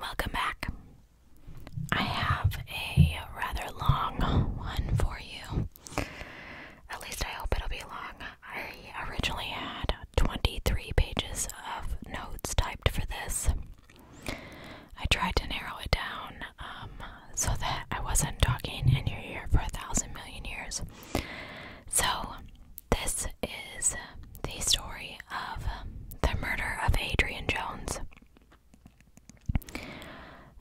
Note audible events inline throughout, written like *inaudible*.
Welcome back. I have a rather long one for you. At least I hope it'll be long. I originally had 23 pages of notes typed for this. I tried to narrow it down um, so that I wasn't talking in your ear for a thousand million years. So this is the story of the murder of Adrian Jones.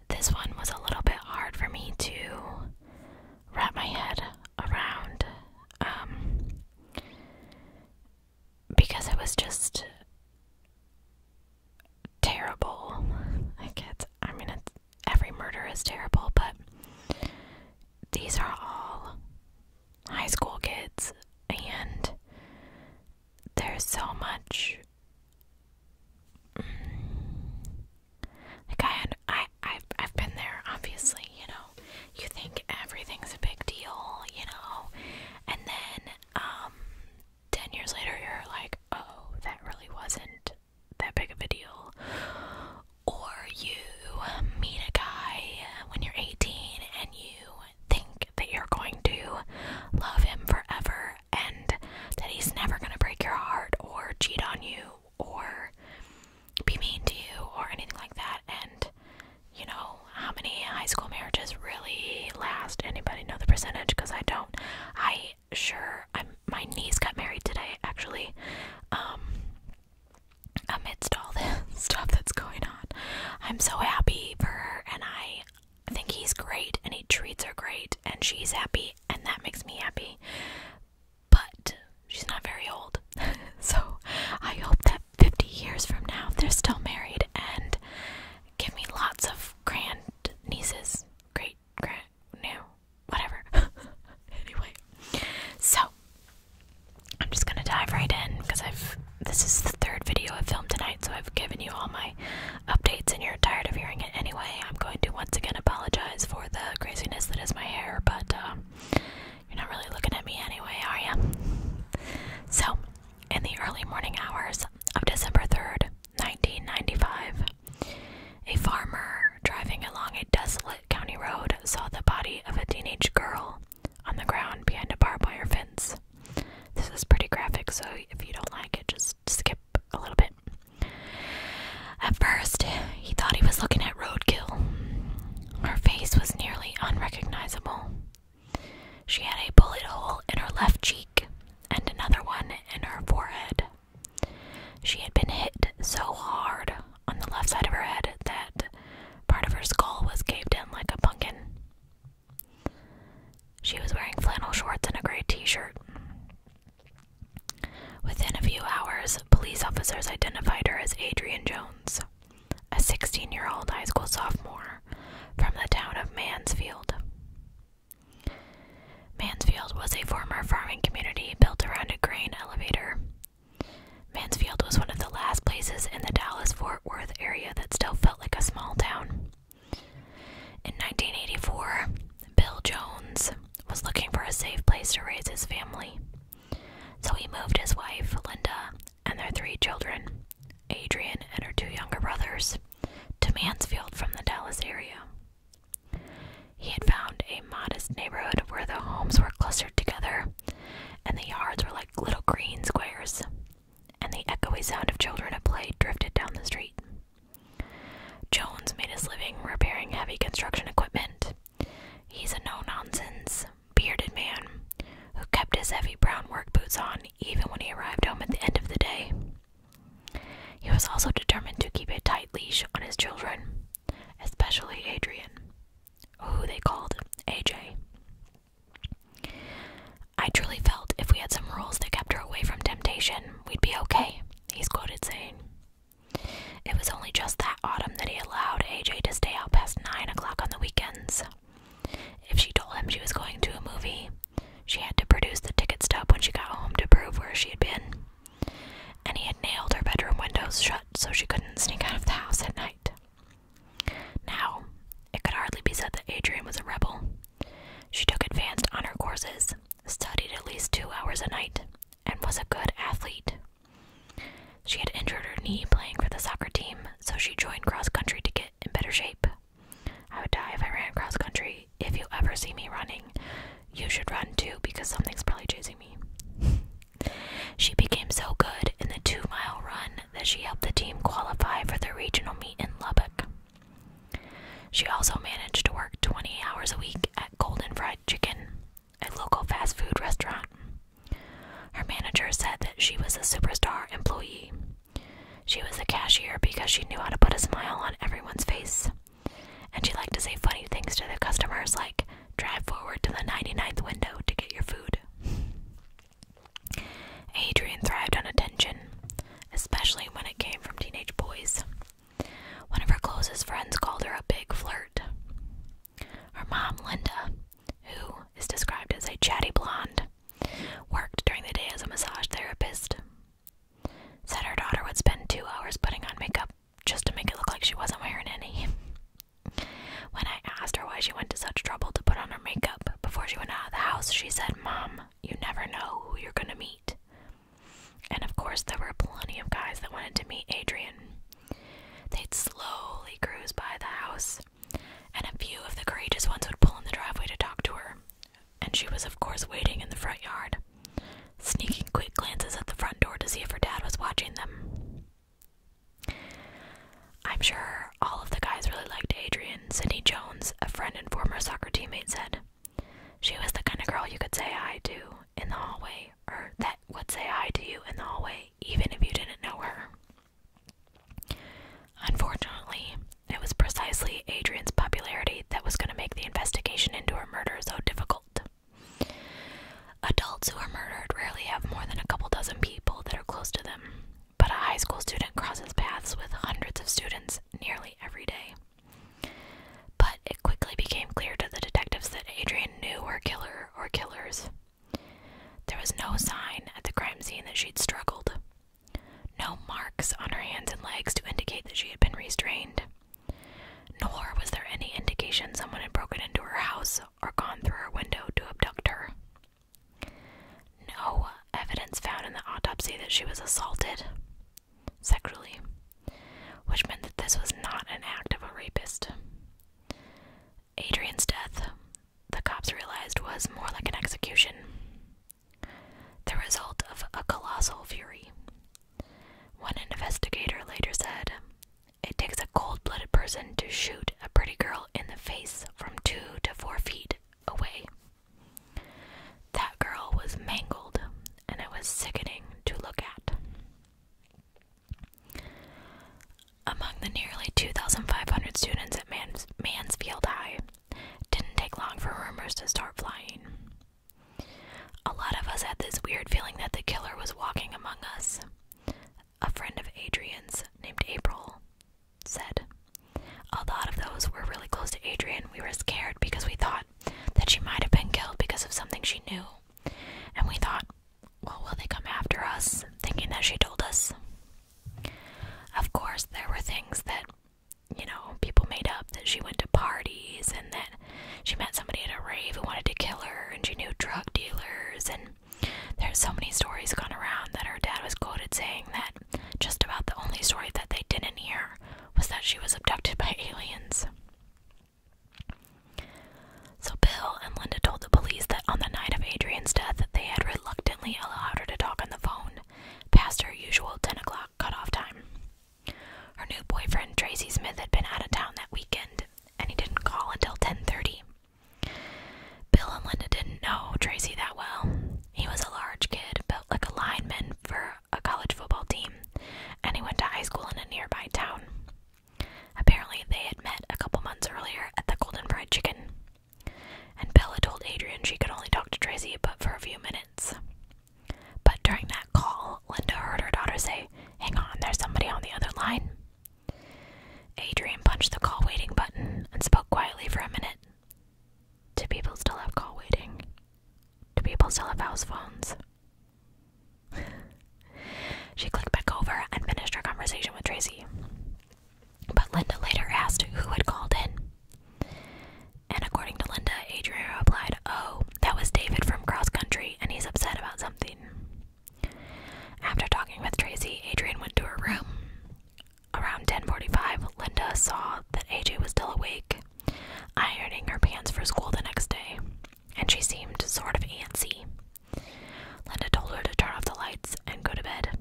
This one was a little bit hard for me to wrap my head around um, because it was just terrible. I mean, every murder is terrible, but these are all high school kids, and there's so much. Mm, like I had, I, I've, I've been there. Obviously, you know, you think everything's a big deal, you know, and then, um, ten years later, you're like, oh, that really wasn't that big of a deal, or you meet a guy when you're 18 and you think that you're going to love him forever and that he's never going to break your heart or cheat on you or be mean to you or anything like that and you know how many high school marriages really last anybody know the percentage because i don't i sure i'm my niece got married today actually um, amidst all this *laughs* stuff that's going on. I'm so happy for her, and I think he's great, and he treats her great, and she's happy, and that makes me happy. But she's not very old, *laughs* so I hope that 50 years from now they're still married and give me lots of grand nieces, great grand, no, whatever. *laughs* anyway, so I'm just gonna dive right in because I've this is the third video I've filmed tonight, so I've given you all my updates and you're tired of hearing it anyway. I'm going to once again apologize for the craziness that is my hair, but uh, you're not really looking at me anyway, are you? So, in the early morning hours of December 3rd, 1995, a farmer driving along a desolate county road saw the body of a teenage girl on the ground behind a barbed wire fence. This is pretty graphic, so if you don't like it, just skip a little bit. At first, he thought he was looking at roadkill. Her face was nearly unrecognizable. She had a bullet hole in her left cheek and another one in her forehead. She had been hit so hard on the left side of her head that part of her skull was caved in like a pumpkin. She was wearing flannel shorts and a gray t shirt. Within a few hours, police officers identified her as Adrian Jones, a 16 year old high school sophomore from the town of Mansfield. Mansfield was a former farming community built around a grain elevator Mansfield was one of the last places in the Dallas Fort Worth area that still felt like a small town. In 1984, Bill Jones was looking for a safe place to raise his family. So he moved his wife, Linda, and their three children, Adrian and her two younger brothers, to Mansfield from the Dallas area. He had found a modest neighborhood where the homes were clustered together and the yards were like little green squares, and the echoey sound of children at play drifted down the street. Jones made his living repairing heavy construction equipment. He's a no nonsense, bearded man who kept his heavy brown work boots on even when he arrived home at the end of the day. He was also determined to keep a tight leash on his children, especially Adrian, who they called AJ. I truly felt if we had some rules that kept her away from temptation, we'd be okay, he's quoted saying. It was only just that autumn that he allowed AJ to stay out past 9 o'clock on the weekends. If she told him she was going to a movie, she had to produce the ticket stub when she got home to prove where she had been and he had nailed her bedroom windows shut so she couldn't sneak out of the house at night. Now, it could hardly be said that Adrian was a rebel. She took advanced honor courses, studied at least two hours a night, and was a good athlete. She had injured her knee playing for the soccer team, so she joined cross country to get in better shape. I would die if I ran cross country. If you ever see me running, you should run too because something's probably chasing me. *laughs* She became so good in the two mile run that she helped the team qualify for the regional meet in Lubbock. She also managed to work 20 hours a week at Golden Fried Chicken, a local fast food restaurant. Her manager said that she was a superstar employee. She was a cashier because she knew how to put a smile on everyone's face. And she liked to say funny things to the customers like, drive forward to the 99th window to get your food. Adrian thrived on attention, especially when it came from teenage boys. One of her closest friends called her a big flirt. Her mom, Linda, who is described as a chatty blonde, worked during the day as a massage therapist. Said her daughter would spend two hours putting on makeup just to make it look like she wasn't wearing any. *laughs* When I asked her why she went to such trouble to put on her makeup before she went out of the house, she said, Mom, you never know who you're gonna meet. And of course, there were plenty of guys that wanted to meet Adrian. They'd slowly cruise by the house, and a few of the courageous ones would pull in the driveway to talk to her. And she was, of course, waiting in the front yard, sneaking quick glances at the front door to see if her dad was watching them. I'm sure all of the guys really liked Adrian, Sydney Jones, a friend and former soccer teammate, said. She was the kind of girl you could say hi to in the hallway, or that would say hi to you in the hallway, even if you didn't know her. Unfortunately, it was precisely Adrian's popularity that was going to make the investigation into her murder so difficult. Adults who are murdered rarely have more than a couple dozen people that are close to them, but a high school student crosses paths with hundreds of students nearly every day. But it quickly became clear to the detectives that Adrian knew her killer or killers. There was no sign at the crime scene that she'd struggled, no marks on her hands and legs to indicate that she had been restrained, nor was there any indication someone had broken into her house or gone through her window to abduct her. No evidence found in the autopsy that she was assaulted sexually, which meant that this was not an act of a rapist. Adrian's death, the cops realized, was more like an execution, the result of a colossal fury. One investigator later said it takes a cold blooded person to shoot a pretty girl in the face from two to four feet away. That girl was mangled, and it was sickening to look at. Among the nearly 2,500 students at Mansfield High, didn't take long for rumors to start flying. A lot of us had this weird feeling that the killer was walking among us. A friend of Adrian's, named April, said, A lot of those were really close to Adrian. We were scared because we thought that she might have been killed because of something she knew. And we thought, well, will they come after us, thinking that she told us? Of course, there were things that, you know, people made up that she went to parties and that she met somebody at a rave who wanted to kill her, and she knew drug dealers. And there's so many stories going around that her dad was quoted saying that just about the only story that they didn't hear was that she was abducted by *laughs* aliens. So Bill and Linda told the police that on the night of Adrian's death, they had reluctantly allowed her to talk on the phone past her usual 10 o'clock cutoff time. Her new boyfriend, Tracy Smith, had been out of town that weekend, and he didn't call until 10:30. Bill and Linda didn't know Tracy that well. He was a large kid, built like a lineman for a college football team, and he went to high school in a nearby town. Apparently, they had met a couple months earlier at the Golden Fried Chicken. And Bella told Adrian she could only talk to Tracy but for a few minutes. But during that call, Linda heard her daughter say, Hang on, there's somebody on the other line. Adrian punched the call waiting button and spoke quietly for a minute. Do people still have call waiting? Do people still have house phones? *laughs* she clicked back over and finished her conversation with Tracy. But Linda later asked who had called in. And according to Linda, Adrian replied, Oh, that was David from Cross Country, and he's upset about something. After talking with Tracy, Adrian went to her room. Around 10:45, Linda saw that AJ was still awake, ironing her pants for school the next day, and she seemed sort of antsy. Linda told her to turn off the lights and go to bed.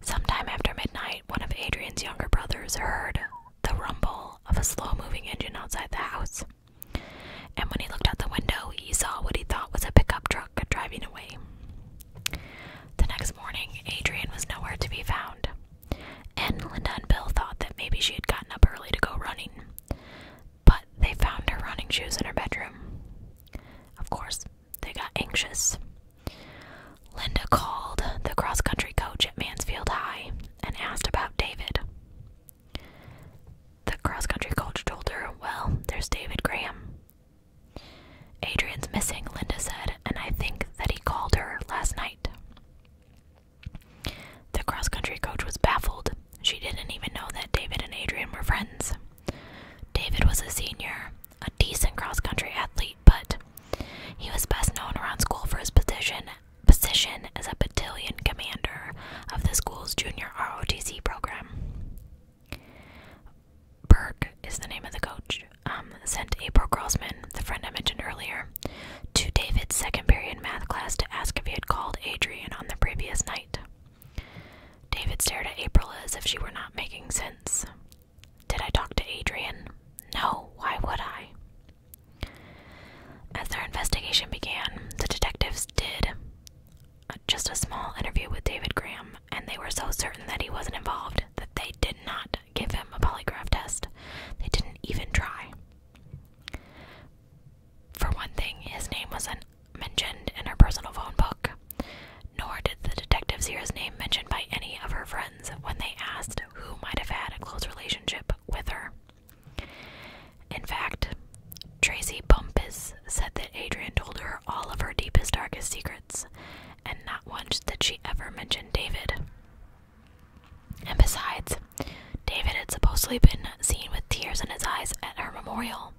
Sometime after midnight, one of Adrian's younger brothers heard the rumble of a slow moving engine outside the house. And when he looked out the window, he saw what he thought was a pickup truck driving away. The next morning, Adrian was nowhere to be found, and Linda and Bill thought that maybe she had gotten up early to go running. But they found her running shoes in her bedroom. Of course, they got anxious. Linda called the cross country coach at Mansfield High and asked about David. The cross country coach told her, Well, there's David Graham. Adrian's missing, Linda said, and I think that he called her last night. The cross country coach was baffled. She didn't even know that David and Adrian were friends. David was a senior, a decent cross country athlete, but he was best known around school for his position position as a battalion commander of the school's junior ROTC program. Berg is the name of the coach. Um, sent April Grossman, the friend I mentioned earlier, to David's second period math class to ask if he had called Adrian on the previous night. David stared at April as if she were not making sense. Did I talk to Adrian? No, why would I? As their investigation began, the detectives did uh, just a small interview with David Graham, and they were so certain that he wasn't involved that they did not give him a polygraph test. They didn't even try. For one thing, his name wasn't mentioned in her personal phone book, nor did the detectives hear his name mentioned by any of her friends when they asked who might have had a close relationship with her. In fact, Tracy Bumpus said that Adrian told her all of her deepest, darkest secrets, and not once did she ever mention David. And besides, David had supposedly been seen with tears in his eyes at her memorial,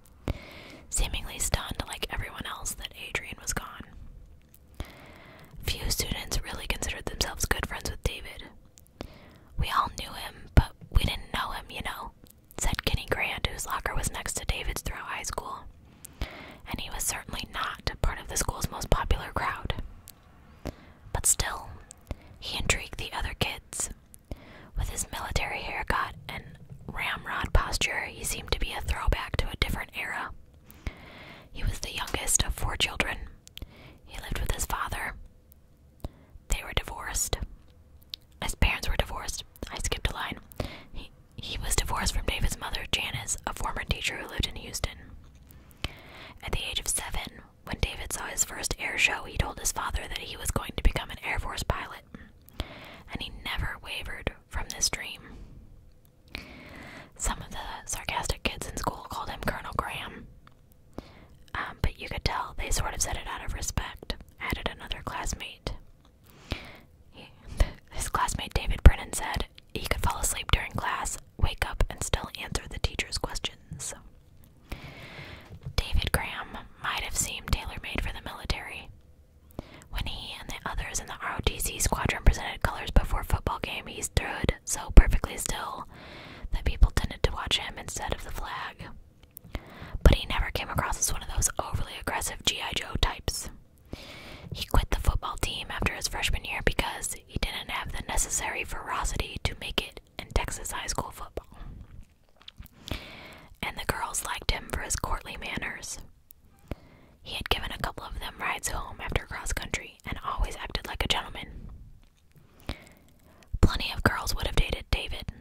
seemingly stunned like everyone else that Adrian was gone. Few students really considered themselves good friends with David, we all knew him, but we didn't know him, you know, said Kenny Grant, whose locker was next to David's throughout high school. And he was certainly not part of the school's most popular crowd. But still, he intrigued the other kids. With his military haircut and ramrod posture, he seemed to be a throwback to a different era. He was the youngest of four children. He lived with his father, they were divorced. His parents were divorced. I skipped a line. He, he was divorced from David's mother, Janice, a former teacher who lived in Houston. At the age of seven, when David saw his first air show, he told his father that he was going to become an Air Force pilot, and he never wavered from this dream. Some of the sarcastic kids in school called him Colonel Graham, um, but you could tell they sort of said it out of respect, added another classmate. He, *laughs* his classmate David Brennan said he could fall asleep during class, wake up, and still answer the teacher's questions. David Graham might have seemed tailor made for the military. When he and the others in the ROTC squadron presented colors before football game, he stood so perfectly still that people tended to watch him instead of the flag. But he never came across as one of those overly aggressive G.I. Joe types. He quit the football team after his freshman year because he didn't have the necessary ferocity to make it in Texas high school football. And the girls liked him for his courtly manners. He had given a couple of them rides home after cross country and always acted like a gentleman. Plenty of girls would have dated David.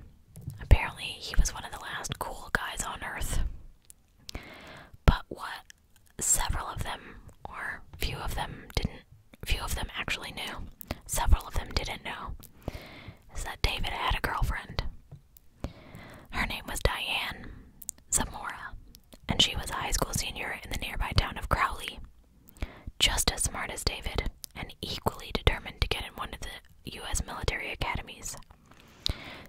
Apparently, he was one of the last cool guys on earth. But what several of them, or few of them, didn't, few of them actually knew, several of them didn't know, is that David had a girlfriend. Her name was Diane Zamora, and she was a high school senior in the nearby town of Crowley, just as smart as David, and equally determined to get in one of the U.S. military academies.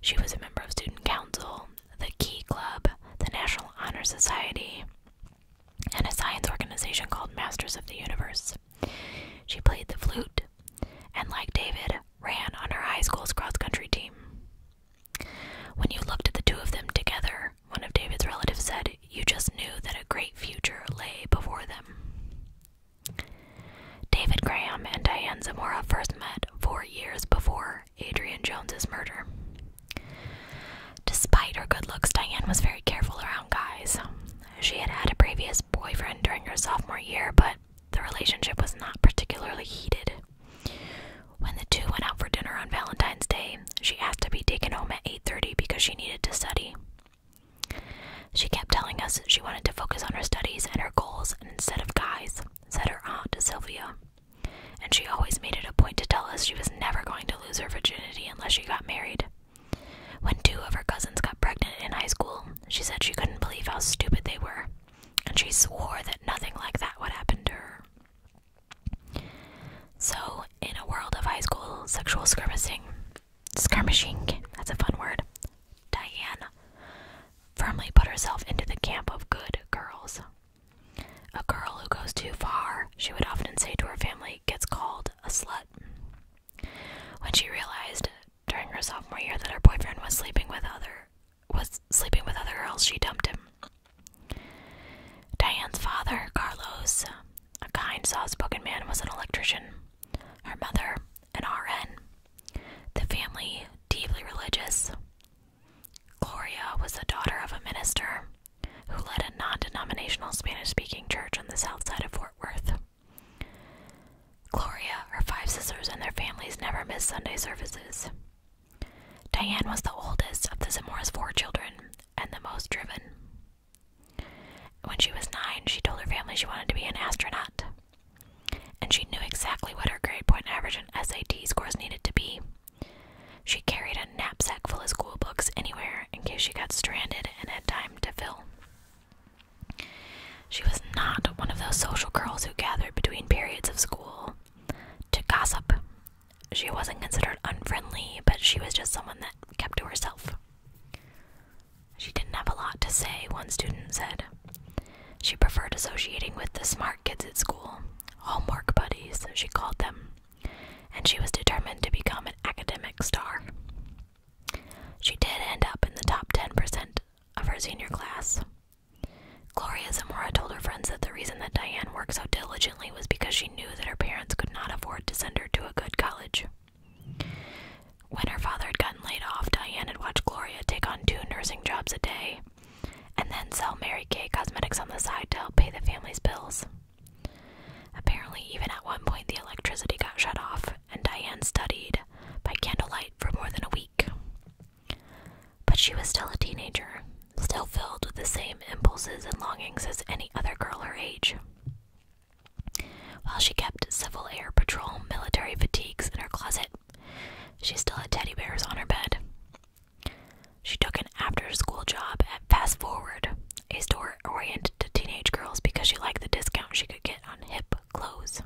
She was a member of Student Council, the Key Club, the National Honor Society, and a science organization called Masters of the Universe. She played the flute, and like David, ran on her high school's cross country team. When you looked at the two of them together, one of David's relatives said, you just knew that a great future lay before them. David Graham and Diane Zamora first met four years before Adrian Jones's murder. Despite her good looks, Diane was very careful around guys. She had had a previous boyfriend during her sophomore year, but the relationship was not particularly heated. When the two went out for dinner on Valentine's Day, she asked to be taken home at 8:30 because she needed to study. She kept telling us she wanted to focus on her studies and her goals instead of guys, said her aunt Sylvia. And she always made it a point to tell us she was never going to lose her virginity unless she got married. When two of her cousins got pregnant in high school, she said she couldn't believe how stupid they were, and she swore that nothing like that would happen to her. So, in a world of high school sexual skirmishing, skirmishing, that's a fun word. Diane firmly put herself into the camp of good girls. A girl who goes too far, she would often say to her family, gets called a slut. When she realized during her sophomore year that her boyfriend was sleeping with other was sleeping with other girls, she dumped him. Diane's father, Carlos, a kind, soft spoken man was an electrician, her mother, an RN. The family, deeply religious. Gloria was the daughter of a minister who led a non denominational Spanish speaking church on the south side of Fort Worth. Gloria, her five sisters, and their families never missed Sunday services. Diane was the oldest of the Zamora's four children and the most driven. When she was nine, she told her family she wanted to be an astronaut, and she knew exactly what her grade point average and SAT scores needed to be. She carried a knapsack full of school books anywhere in case she got stranded and had time to fill. She was not one of those social girls who gathered between periods of school to gossip. She wasn't considered unfriendly, but she was just someone that kept to herself. She didn't have a lot to say, one student said. She preferred associating with the smart kids at school, homework buddies, she called them, and she was determined to become an academic star. She did end up in the top 10% of her senior class. Gloria Zamora told her friends that the reason that Diane worked so diligently was because she knew that her parents could not afford to send her to a good college. When her father had gotten laid off, Diane had watched Gloria take on two nursing jobs a day and then sell Mary Kay cosmetics on the side to help pay the family's bills. Apparently, even at one point, the electricity got shut off, and Diane studied by candlelight for more than a week. But she was still a teenager, still filled with the same impulses and longings as any other girl her age. While she kept Civil Air Patrol military fatigues in her closet, she still had teddy bears on her bed. She took an after school job at Fast Forward, a store oriented to teenage girls because she liked the discount she could get on hip clothes.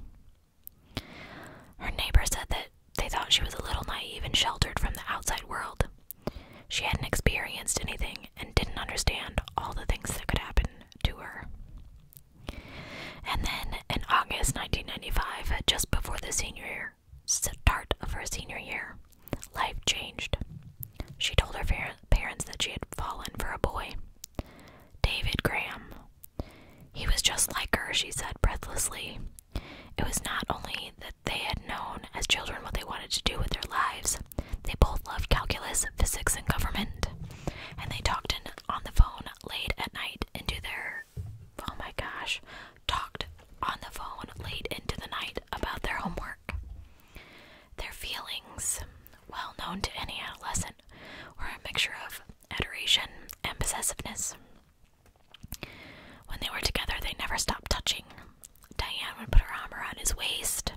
Her neighbors said that they thought she was a little naive and sheltered from the outside world. She hadn't experienced anything and didn't understand all the things that could happen to her. And then in August 1995, just before the senior year, start of her senior year, life changed. She told her parents that she had fallen for a boy, David Graham. He was just like her, she said breathlessly. It was not only that they had known as children what they wanted to do with their lives, they both loved calculus, physics, and government. And they talked on the phone late at night into their. Oh my gosh. Talked on the phone late into the night about their homework. Their feelings, well known to any adolescent, were a mixture of adoration and possessiveness. When they were together, they never stopped touching. Diane would put her arm around his waist,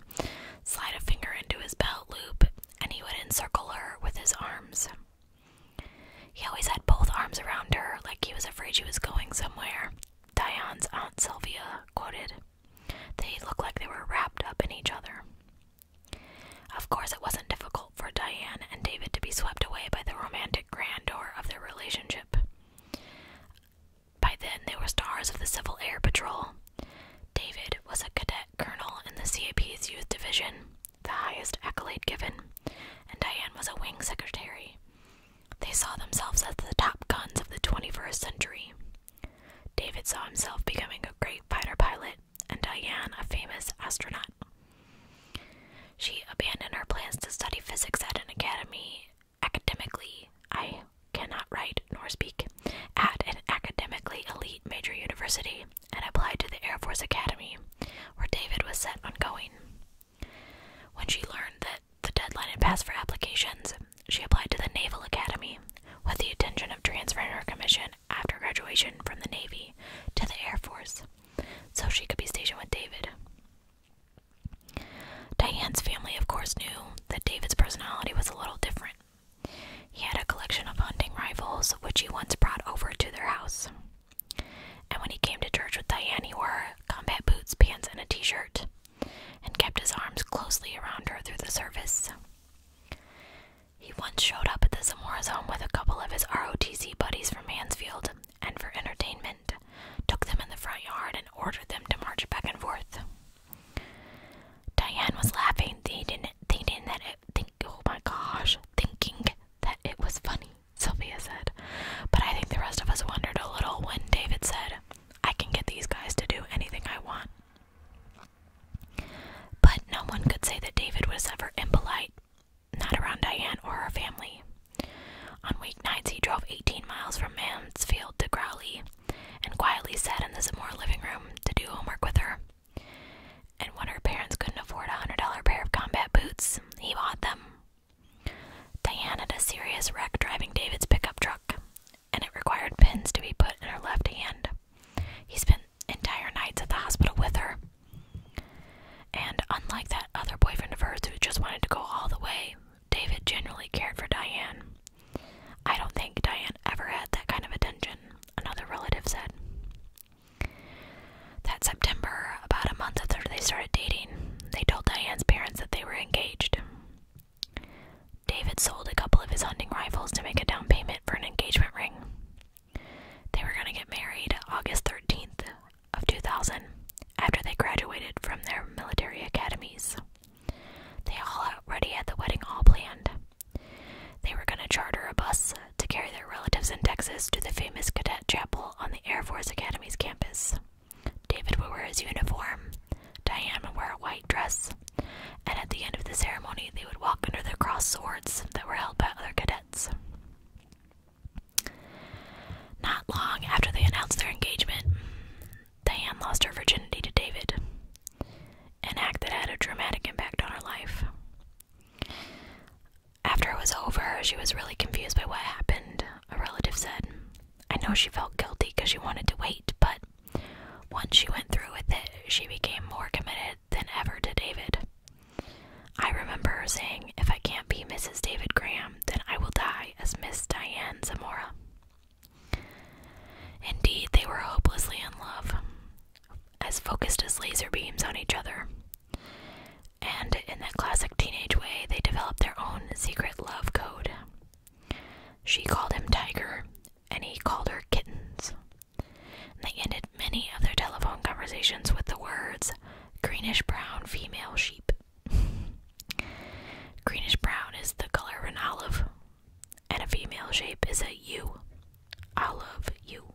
slide a finger into his belt loop, and he would encircle her with his arms. He always had both arms around her, like he was afraid she was going somewhere. Diane's Aunt Sylvia quoted. They looked like they were wrapped up in each other. Of course, it wasn't difficult for Diane and David to be swept away by the romantic grandeur of their relationship. By then, they were stars of the Civil Air Patrol. David was a cadet colonel in the CAP's youth division, the highest accolade given, and Diane was a wing secretary. They saw themselves as the top guns of the 21st century. David saw himself becoming a great fighter pilot, and Diane a famous astronaut. She abandoned her plans to study physics at an academy academically, I cannot write nor speak, at an academically elite major university and applied to the Air Force Academy, where David was set on going. When she learned that the deadline had passed for applications, she applied to the Naval Academy with the intention of transferring her commission after graduation from the Navy to the Air Force so she could be stationed with David. Diane's family, of course, knew that David's personality was a little different. He had a collection of hunting rifles, which he once brought over to their house. And when he came to church with Diane, he wore combat boots, pants, and a t shirt, and kept his arms closely around her through the service. He once showed up at the Zamora's home with a couple of his ROTC buddies from Mansfield, and for entertainment, took them in the front yard and ordered them to march back and forth. Diane was laughing, thinking that it oh my gosh, thinking that it was funny, Sylvia said. But I think the rest of us wondered a little when David said, I can get these guys to do anything I want. But no one could say that David was ever impolite, not around Diane or her family. On weeknights, he drove 18 miles from Mansfield to Crowley, and quietly sat in the Zamora living room to do homework with her. And when her parents couldn't afford a hundred dollar pair of combat boots, he bought them. Diane had a serious wreck driving David's pickup truck, and it required pins to be put in her left hand. He spent entire nights at the hospital with her. And unlike that other boyfriend of hers who just wanted to go all the way, David generally cared for Diane. I don't think Diane ever had that kind of attention, another relative said. That September, about a month after they started dating, they told Diane's parents that they were engaged. David sold a couple of his hunting rifles to make a down payment for an engagement ring. They were going to get married August 13th of 2000 after they graduated from their military academies. They all already had the wedding all planned. They were going to charter a bus to carry their relatives in Texas to the famous cadet chapel on the Air Force Academy's campus. David would wear his uniform, Diana would wear a white dress, and at the end of the ceremony, they would walk under the crossed swords that were held by other cadets. Not long after they announced their engagement, Diane lost her virginity to David, an act that had a dramatic impact on her life. After it was over, she was really confused by what happened, a relative said. I know she felt guilty because she wanted to wait, but once she went through with it, she became more committed than ever to David. I remember her saying, If I can't be Mrs. David Graham, then I will die as Miss Diane Zamora. Indeed, they were hopelessly in love, as focused as laser beams on each other. And in that classic teenage way, they developed their own secret love code. She called him Tiger, and he called her Kittens. they ended many of their telephone conversations with the words greenish brown female sheep. *laughs* greenish brown is the color of an olive, and a female shape is a U. I love you.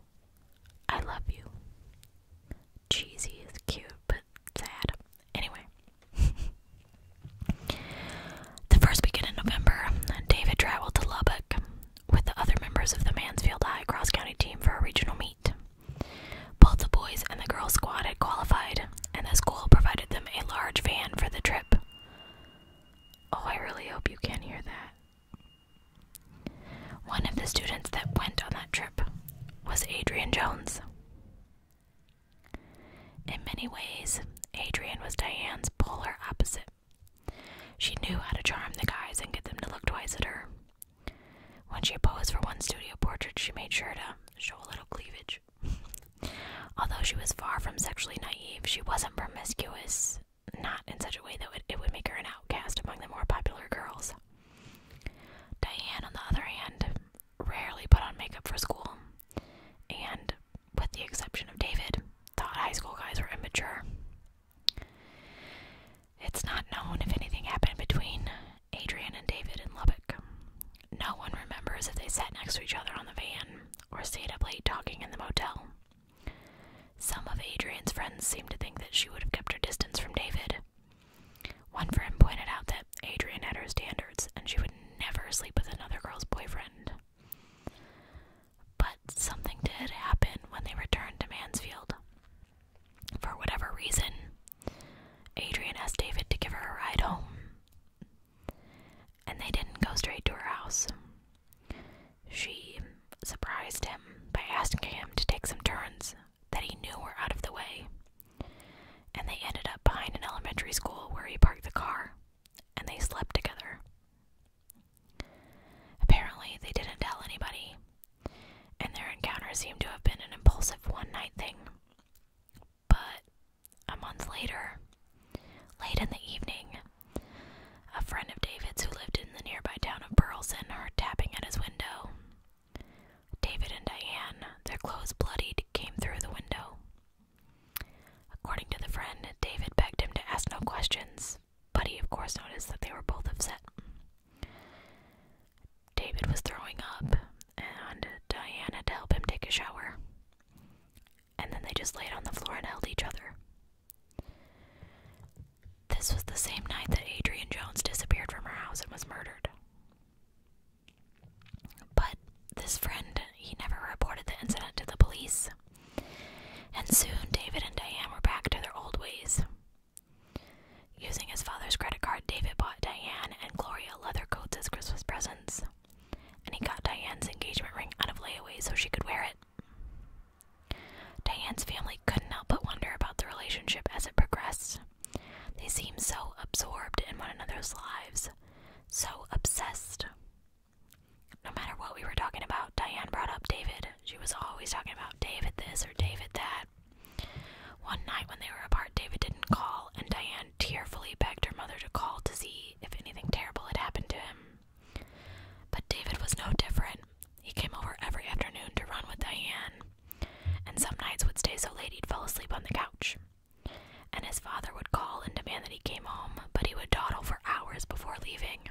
I love you. Cheesy is cute, but sad. Anyway. *laughs* the first weekend in November, David traveled to Lubbock with the other members of the Mansfield High Cross County team for a regional meet. Both the boys and the girls squad had qualified, and the school provided them a large van for the trip. Oh, I really hope you can hear that. One of the students that went on that trip was Adrian Jones. In many ways, Adrian was Diane's polar opposite. She knew how to charm the guys and get them to look twice at her. When she posed for one studio portrait, she made sure to show a little cleavage. Although she was far from sexually naive, she wasn't promiscuous, not in such a way that would, it would make her an outcast among the more popular girls. Diane, on the other hand, rarely put on makeup for school, and, with the exception of David, thought high school guys were immature. It's not known if anything happened between Adrian and David in Lubbock, no one remembers if they sat next to each other on the van or stayed up late talking in the motel. Some of Adrian's friends seemed to think that she would have kept her distance from David. One friend pointed out that Adrian had her standards and she would never sleep with another girl's boyfriend. But something did happen when they returned to Mansfield. For whatever reason, Adrian asked David to give her a ride home. And they didn't go straight to her house. She surprised him by asking him to take some turns that he knew were out of the way. And they ended up behind an elementary school where he parked the car, and they slept together. Apparently, they didn't tell anybody, and their encounter seemed to have been an impulsive one night thing. But a month later, late in the evening, a friend of David's who lived in the nearby town of Burleson heard tapping at his window. David and Diane, their clothes bloodied, came through the window. According to the friend, David begged him to ask no questions, but he, of course, noticed that they were both upset. David was throwing up, and Diana to help him take a shower and then they just laid on the floor and held each other. This was the same night that Adrian Jones disappeared from her house and was murdered. But this friend, he never reported the incident to the police. And soon David and Diane were back to their old ways. Using his father's credit card, David bought Diane and Gloria leather coats as Christmas presents and he got Diane's engagement ring out of layaway so she could wear it. Diane's family couldn't help but wonder about the relationship as it progressed. They seemed so absorbed in one another's lives, so obsessed. No matter what we were talking about, Diane brought up David. She was always talking about David this or David that. One night when they were apart, David didn't call, and Diane man tearfully begged her mother to call to see if anything terrible had happened to him. But David was no different. He came over every afternoon to run with Diane, and some nights would stay so late he'd fall asleep on the couch. And his father would call and demand that he came home, but he would dawdle for hours before leaving.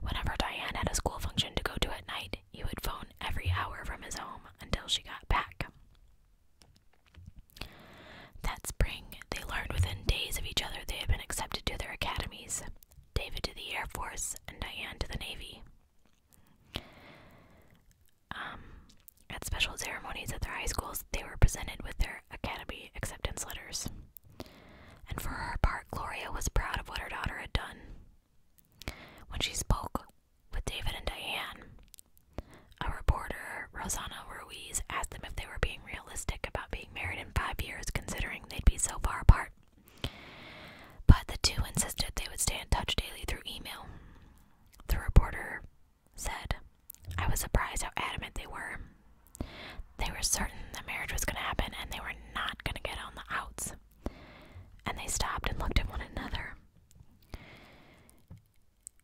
Whenever Diane had a school function to go to at night, he would phone every hour from his home until she got back. That spring, they learned within days of each other they had been accepted to their academies David to the Air Force and Diane to the Navy. Um, at special ceremonies at their high schools, they were presented with their academy acceptance letters. And for her part, Gloria was proud of what her daughter had done. When she spoke with David and Diane, a reporter, Rosana Ruiz, asked them if they were being realistic about being married in five years, considering they'd be so far apart. But the two insisted they would stay in touch daily through email. The reporter said, I was surprised how adamant they were. They were certain the marriage was going to happen and they were not going to get on the outs. And they stopped and looked at one another.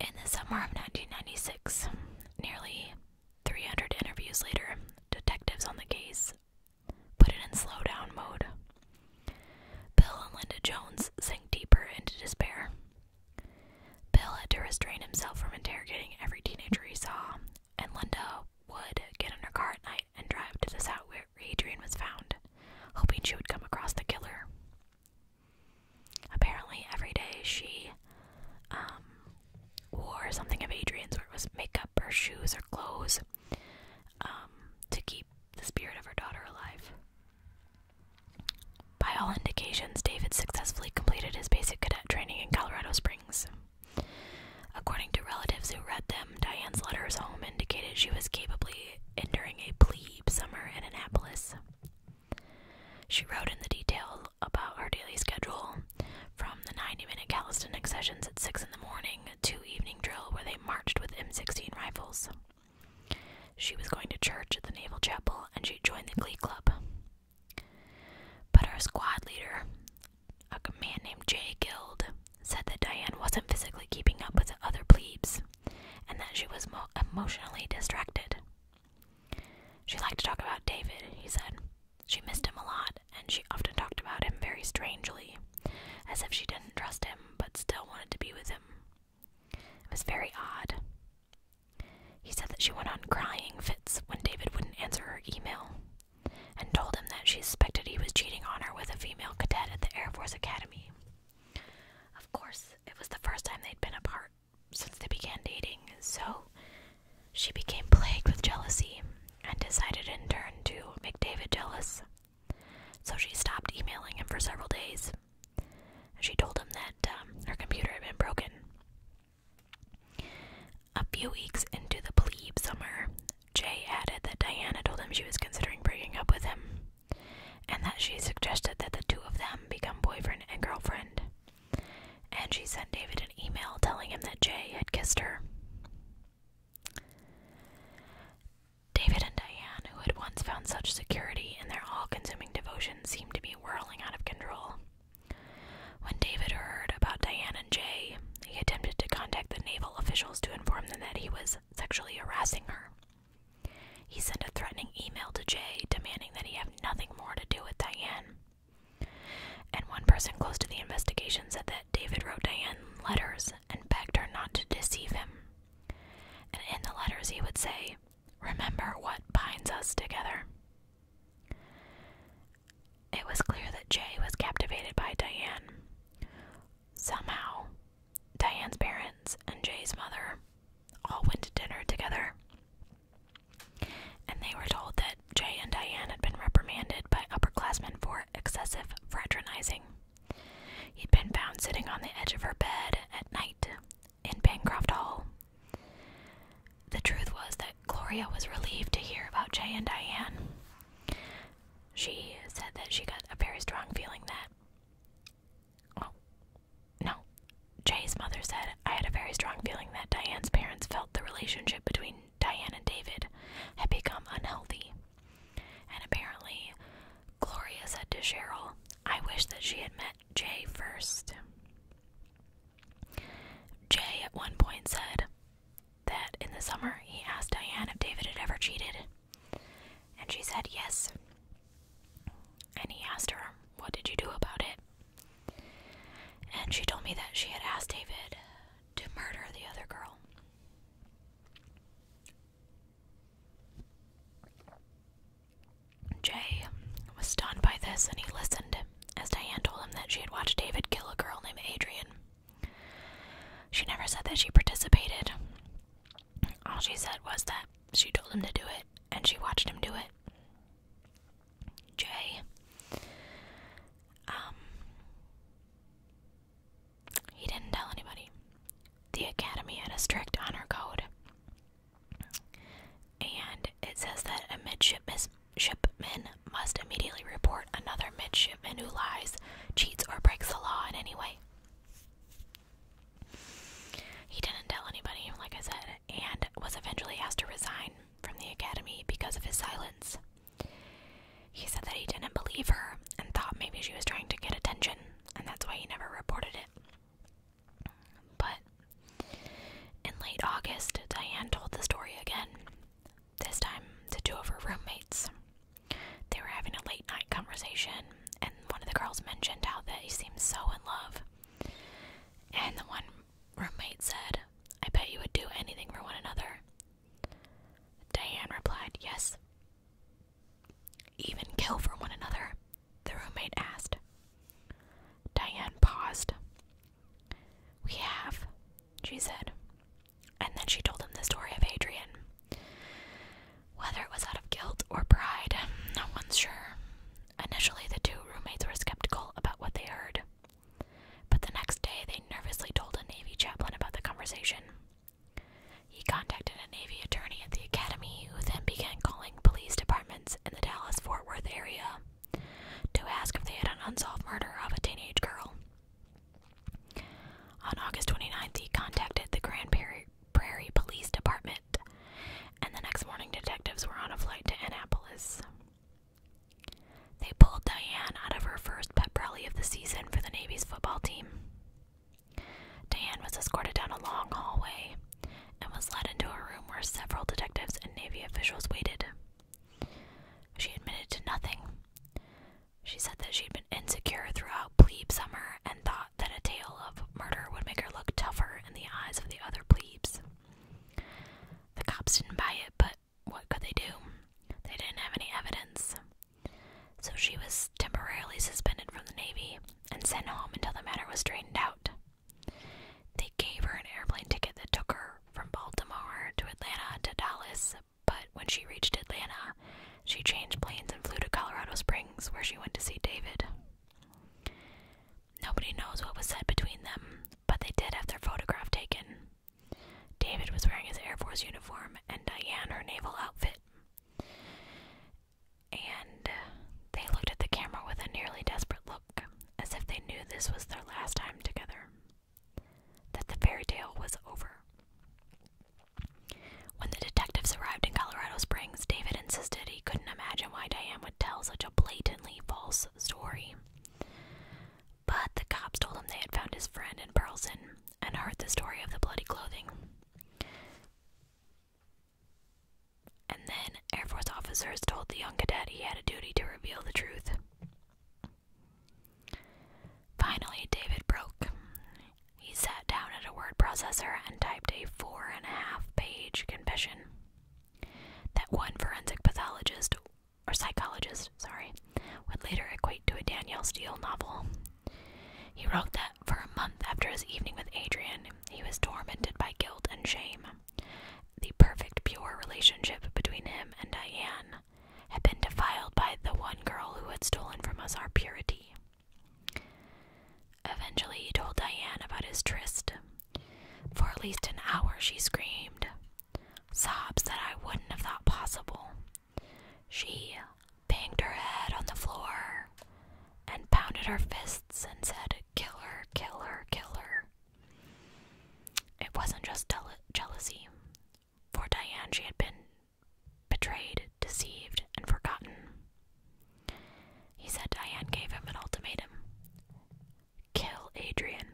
In the summer of 1996, nearly 300 interviews later, detectives on the case put in slow down mode. Bill and Linda Jones sank deeper into despair. Bill had to restrain himself from interrogating every teenager he saw, and Linda would get in her car at night and drive to the south where Adrian was found, hoping she would come across the killer. Apparently, every day she um, wore something of Adrian's, where it was makeup or shoes or clothes, um, to keep the spirit of her daughter alive. By all indications, David successfully completed his basic cadet training in Colorado Springs. According to relatives who read them, Diane's letters home indicated she was capably enduring a plebe summer in Annapolis. She wrote in the detail about her daily schedule from the 90 minute calisthenics sessions at 6 in the morning to evening drill where they marched with M16 rifles. She was going to church at the Naval Chapel and she joined the Glee Club. But her squad leader, a man named Jay Guild, said that Diane wasn't physically keeping up with the other plebes and that she was emotionally distracted. She liked to talk about David, he said. She missed him a lot, and she often talked about him very strangely, as if she didn't trust him but still wanted to be with him. It was very odd. He said that she went on crying fits when David wouldn't answer her email, and told him that she suspected he was cheating on her with a female cadet at the Air Force Academy. Of course, it was the first time they'd been apart, since they began dating, so she became plagued with jealousy and decided in turn to make David jealous. So she stopped emailing him for several days. She told him that um, her computer had been broken. A few weeks into the plebe summer, Jay added that Diana told him she was considering breaking up with him and that she suggested that the two of them become boyfriend and girlfriend. And she sent David an email telling him that Jay had kissed her. David and Diane, who had once found such security in their all consuming devotion, seemed to be whirling out of control. When David heard about Diane and Jay, he attempted to contact the naval officials to inform them that he was sexually harassing her. He sent a threatening email to Jay demanding that he have nothing more to do with Diane. And one person close to the investigation said that David wrote Diane letters and begged her not to deceive him. And in the letters, he would say, Remember what binds us together. It was clear that Jay was captivated by Diane. Somehow, Diane's parents and Jay's mother all went to dinner together and they were told that Jay and Diane had been reprimanded by upperclassmen for excessive fraternizing. He'd been found sitting on the edge of her bed at night in Bancroft Hall. The truth was that Gloria was relieved to hear about Jay and Diane. She said that she got a very strong feeling that, no. Jay's mother said, I had a very strong feeling that Diane's parents felt the relationship between Diane and David had become unhealthy. And apparently, Gloria said to Cheryl, I wish that she had met Jay first. Jay at one point said that in the summer he asked Diane if David had ever cheated. And she said yes. And he asked her, What did you do about it? And she told me that she had asked David to murder the other girl. Jay was stunned by this and he listened as Diane told him that she had watched David kill a girl named Adrian. She never said that she participated. All she said was that she told him to do it and she watched him do it. Jay, um, he didn't tell anybody. The academy had a strict honor code, and it says that a midshipman must immediately report another midshipman who lies, cheats, or breaks the law in any way. He didn't tell anybody, like I said, and was eventually asked to resign from the academy because of his silence. He said that he didn't believe her and thought maybe she was trying to get attention, and that's why he never reported it. But in late August, Diane told the story again, this time to two of her roommates. They were having a late night conversation, and one of the girls mentioned how that he seemed so in love and the one roommate said, I bet you would do anything for one another. Diane replied, Yes. Even kill for one another? The roommate asked. Diane paused. We have, she said. And then she told him the story of Adrian. Whether it was out of guilt or pride, no one's sure. Initially, the two roommates were skeptical about what they heard, but the next day they nervously told a Navy chaplain about the conversation. He contacted a Navy attorney at the academy who then began calling police departments in the Dallas Fort Worth area to ask if they had an unsolved murder of a teenage girl. On August 29th, he contacted the Grand Prairie, Prairie Police Department, and the next morning detectives were on a flight to Annapolis. They pulled Diane out of her first pep rally of the season for the Navy's football team. Diane was escorted down a long hallway and was led into a room where several detectives and Navy officials waited. She admitted to nothing. She said that she'd been insecure throughout plebe summer and thought that a tale of murder would make her look tougher in the eyes of the other plebes. The cops didn't buy it, but what could they do? They didn't have any evidence. So she was temporarily suspended from the Navy and sent home until the matter was straightened out. They gave her an airplane ticket that took her from Baltimore to Atlanta to Dallas, but when she reached Atlanta, she changed planes and flew to Colorado Springs, where she went to see David. Nobody knows what was said between them, but they did have their photograph taken. David was wearing his Air Force uniform and Diane her naval outfit. And they looked at the camera with a nearly desperate look, as if they knew this was their last time together, that the fairy tale was over. When the detectives arrived in Colorado Springs, David insisted he couldn't imagine why Diane would tell such a blatantly false story. But the cops told him they had found his friend in Burleson and heard the story of the bloody clothing. And then Air Force officers told the young cadet he had a duty to reveal the truth. Finally, David broke. He sat down at a word processor and typed a four and a half page confession that one forensic pathologist or psychologist, sorry, would later equate to a Danielle Steele novel. He wrote that for a month after his evening with Adrian, he was tormented by guilt and shame. The perfect, pure relationship between him and Diane had been defiled by the one girl who had stolen from us our purity. Eventually, he told Diane about his tryst. For at least an hour, she screamed, sobs that I wouldn't have thought possible. She banged her head on the floor and pounded her fists and said, "Killer, killer, killer." It wasn't just jealousy. For Diane, she had been betrayed, deceived, and forgotten. He said Diane gave him an ultimatum kill Adrian.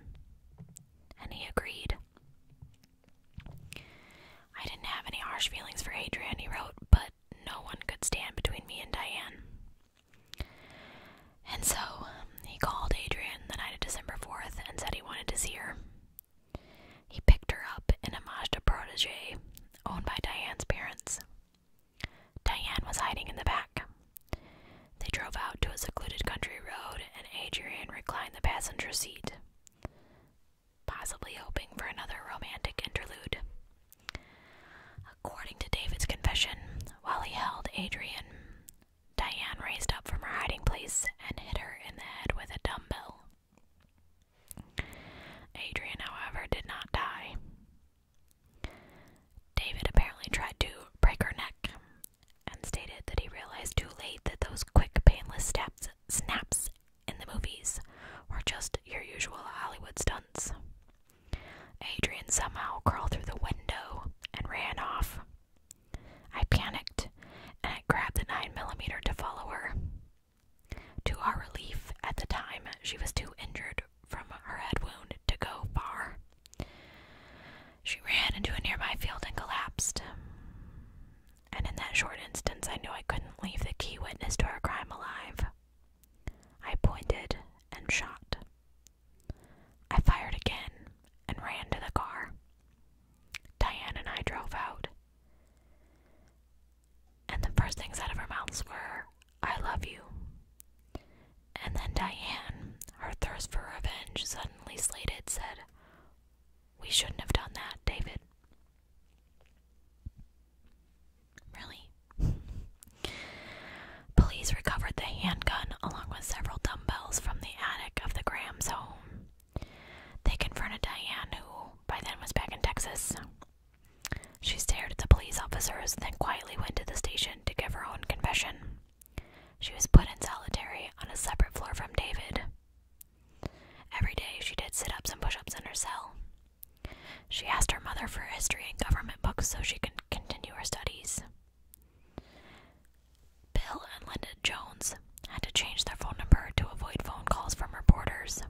And he agreed. I didn't have any harsh feelings for Adrian, he wrote, but no one could stand between me and Diane. And so he called Adrian the night of December 4th and said he wanted to see her. He picked her up in a Mazda Protege owned by Diane's parents. Diane was hiding in the back. They drove out to a secluded country road, and Adrian reclined the passenger seat, possibly hoping for another romantic interlude. According to David's confession, while he held Adrian, Diane raised up from her hiding place and hit her in the head with a dumbbell. Adrian, however, did not die. David apparently tried to break her neck and stated that he realized too late that those quick, painless steps, snaps in the movies were just your usual Hollywood stunts. Adrian somehow crawled through the window and ran off. I panicked and I grabbed the 9 millimeter to follow her. To our relief, at the time, she was too injured from her head wound to go far. She ran into a nearby field and collapsed. And in that short instance, I knew I couldn't leave the key witness to our crime alive. I pointed and shot. I fired again and ran to the car. Diane and I drove out and the first things out of her mouth were, I love you. And then Diane, her thirst for revenge suddenly slated, said, We shouldn't have done that, David. Really? *laughs* Police recovered the handgun along with several dumbbells from the attic of the Grahams' home. They confronted Diane, who by then was back in Texas, she stared at the police officers, then quietly went to the station to give her own confession. She was put in solitary on a separate floor from David. Every day she did sit ups and push ups in her cell. She asked her mother for history and government books so she could continue her studies. Bill and Linda Jones had to change their phone number to avoid phone calls from reporters.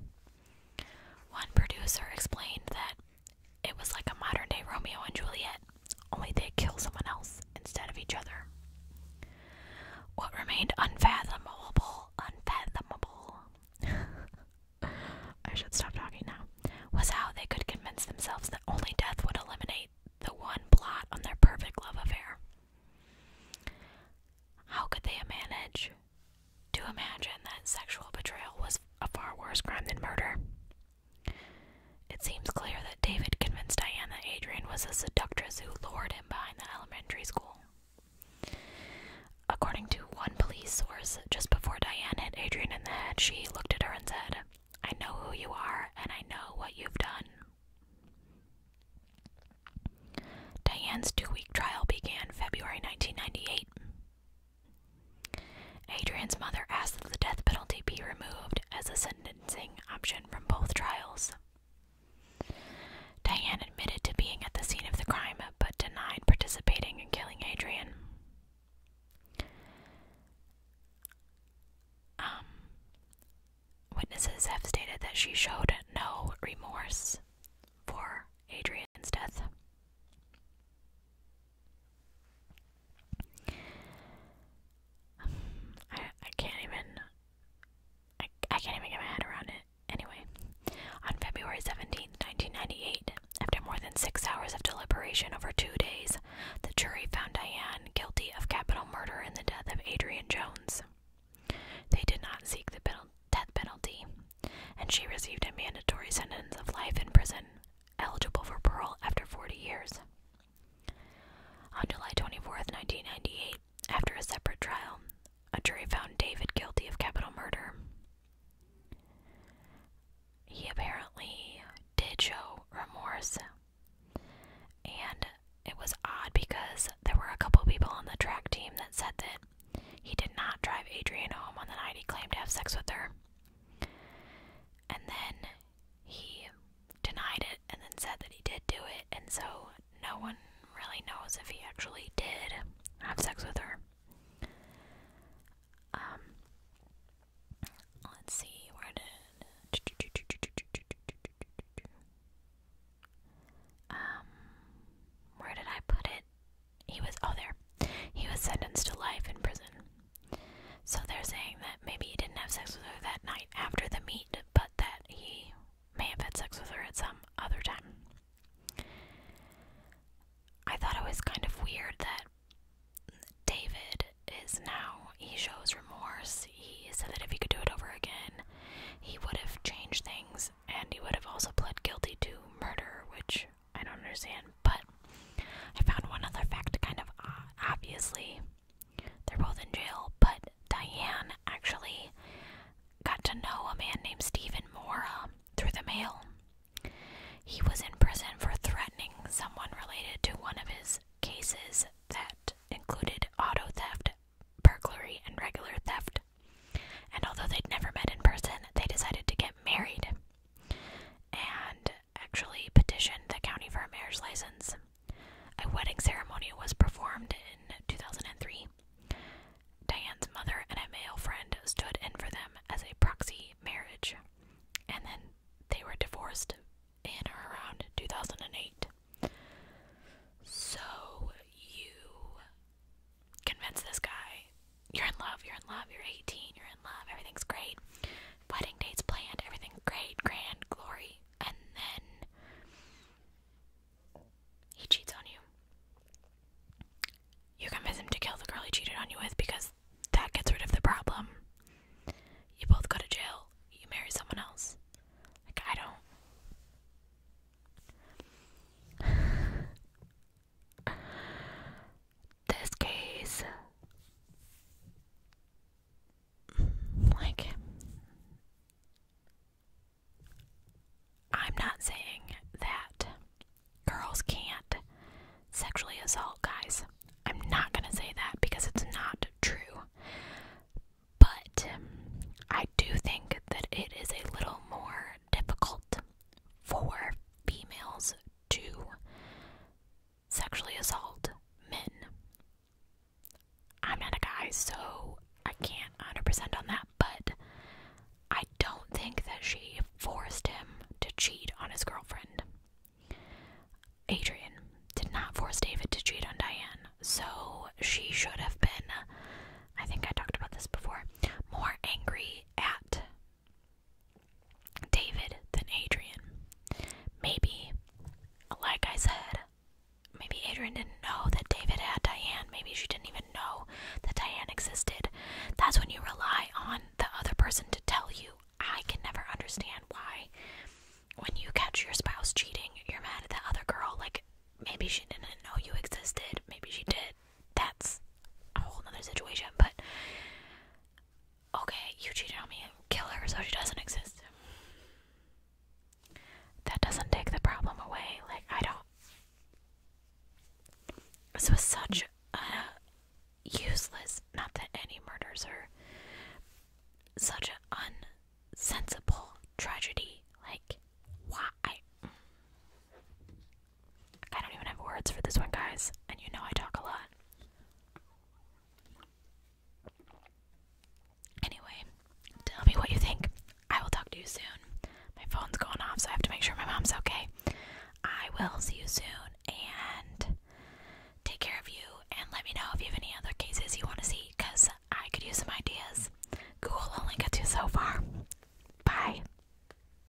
One producer explained that it was like a modern day Romeo and Juliet, only they would kill someone else instead of each other. What remained unfathomable, unfathomable, *laughs* I should stop talking now, was how they could convince themselves that only death would eliminate the one blot on their perfect love affair. How could they manage to imagine that sexual betrayal was a far worse crime than murder. It seems clear that David convinced Diane that Adrian was a seductress who lured him behind the elementary school. According to one police source, just before Diane hit Adrian in the head, she looked at her and said, I know who you are and I know what you've done. Diane's two week trial began February 1998. Adrian's mother asked that the death penalty be removed as a sentencing option from both trials. Diane admitted to being at the scene of the crime but denied participating in killing Adrian. Um, witnesses have stated that she showed no remorse for Adrian's death. *sighs* I I can't even I I can't even get my head around it. Anyway, on February seventeenth, 1998, after more than six hours of deliberation over two days, the jury found Diane guilty of capital murder in the death of Adrian Jones. They did not seek the death penalty, and she received a mandatory sentence of life in prison, eligible for parole after 40 years. On July 24, 1998, after a separate trial, a jury found David guilty of capital murder. He apparently did show remorse, and it was odd because there were a couple people on the track team that said that he did not drive Adrian home on the night he claimed to have sex with her. And then he denied it and then said that he did do it, and so no one really knows if he actually did have sex with her. Um, let's see, where did. Um, where did I put it? he was oh there he was sentenced to life in prison so they're saying that maybe he didn't have sex with her that night after the meet but that he may have had sex with her at some other time i thought it was kind of weird that david is now he shows remorse he said that if he could do it over again he would have changed things and he would have also pled guilty to murder which I don't understand. But I found one other fact kind of uh, Obviously, they're both in jail, but Diane actually got to know a man named Stephen Mora through the mail. He was in prison for threatening someone related to one of his cases that included auto theft, burglary, and regular theft. And although they'd never met in person, they decided to get married and actually petitioned the county for a marriage license. A wedding ceremony was performed in 2003. Diane's mother and a male friend stood in for them as a proxy marriage, and then they were divorced in or around 2008. So you convince this guy you're in love, you're in love, you're 18, you're in love, everything's great. Wedding dates planned, everything's great, grand, glory. And then he cheats on you. You convince him to kill the girl he cheated on you with because that gets rid of the problem. You both go to jail, you marry someone else. Like, I don't this case like I'm not saying that girls can't sexually assault guys. I'm not going to say that because it's not true. But I do think that it is a little more difficult for females to sexually assault men. I'm not a guy, so I can't 100% on that, but I don't think that she forced him to cheat on his girlfriend. Adrian did not force David to cheat on Diane, so she should have been, I think I talked about this before, more angry at David than Adrian. Maybe, like I said, maybe Adrian didn't know that David had Diane. Maybe she didn't even know that Diane existed. That's when you rely on the other person to tell you. I can never understand why, when you catch your spouse cheating, you're mad at the other girl. Like, maybe she didn't know you existed. Maybe she did that's a whole other situation. But okay, you cheated on me and kill her so she doesn't exist. That doesn't take the problem away. Like I don't. This was such a useless. Not that any murders are such an unsensible tragedy. Like why? I don't even have words for this one, guys, and you know I talk a lot. Anyway, tell me what you think. I will talk to you soon. My phone's going off, so I have to make sure my mom's okay. I will see you soon and take care of you. And let me know if you have any other cases you want to see because I could use some ideas. Google only gets you so far. Bye.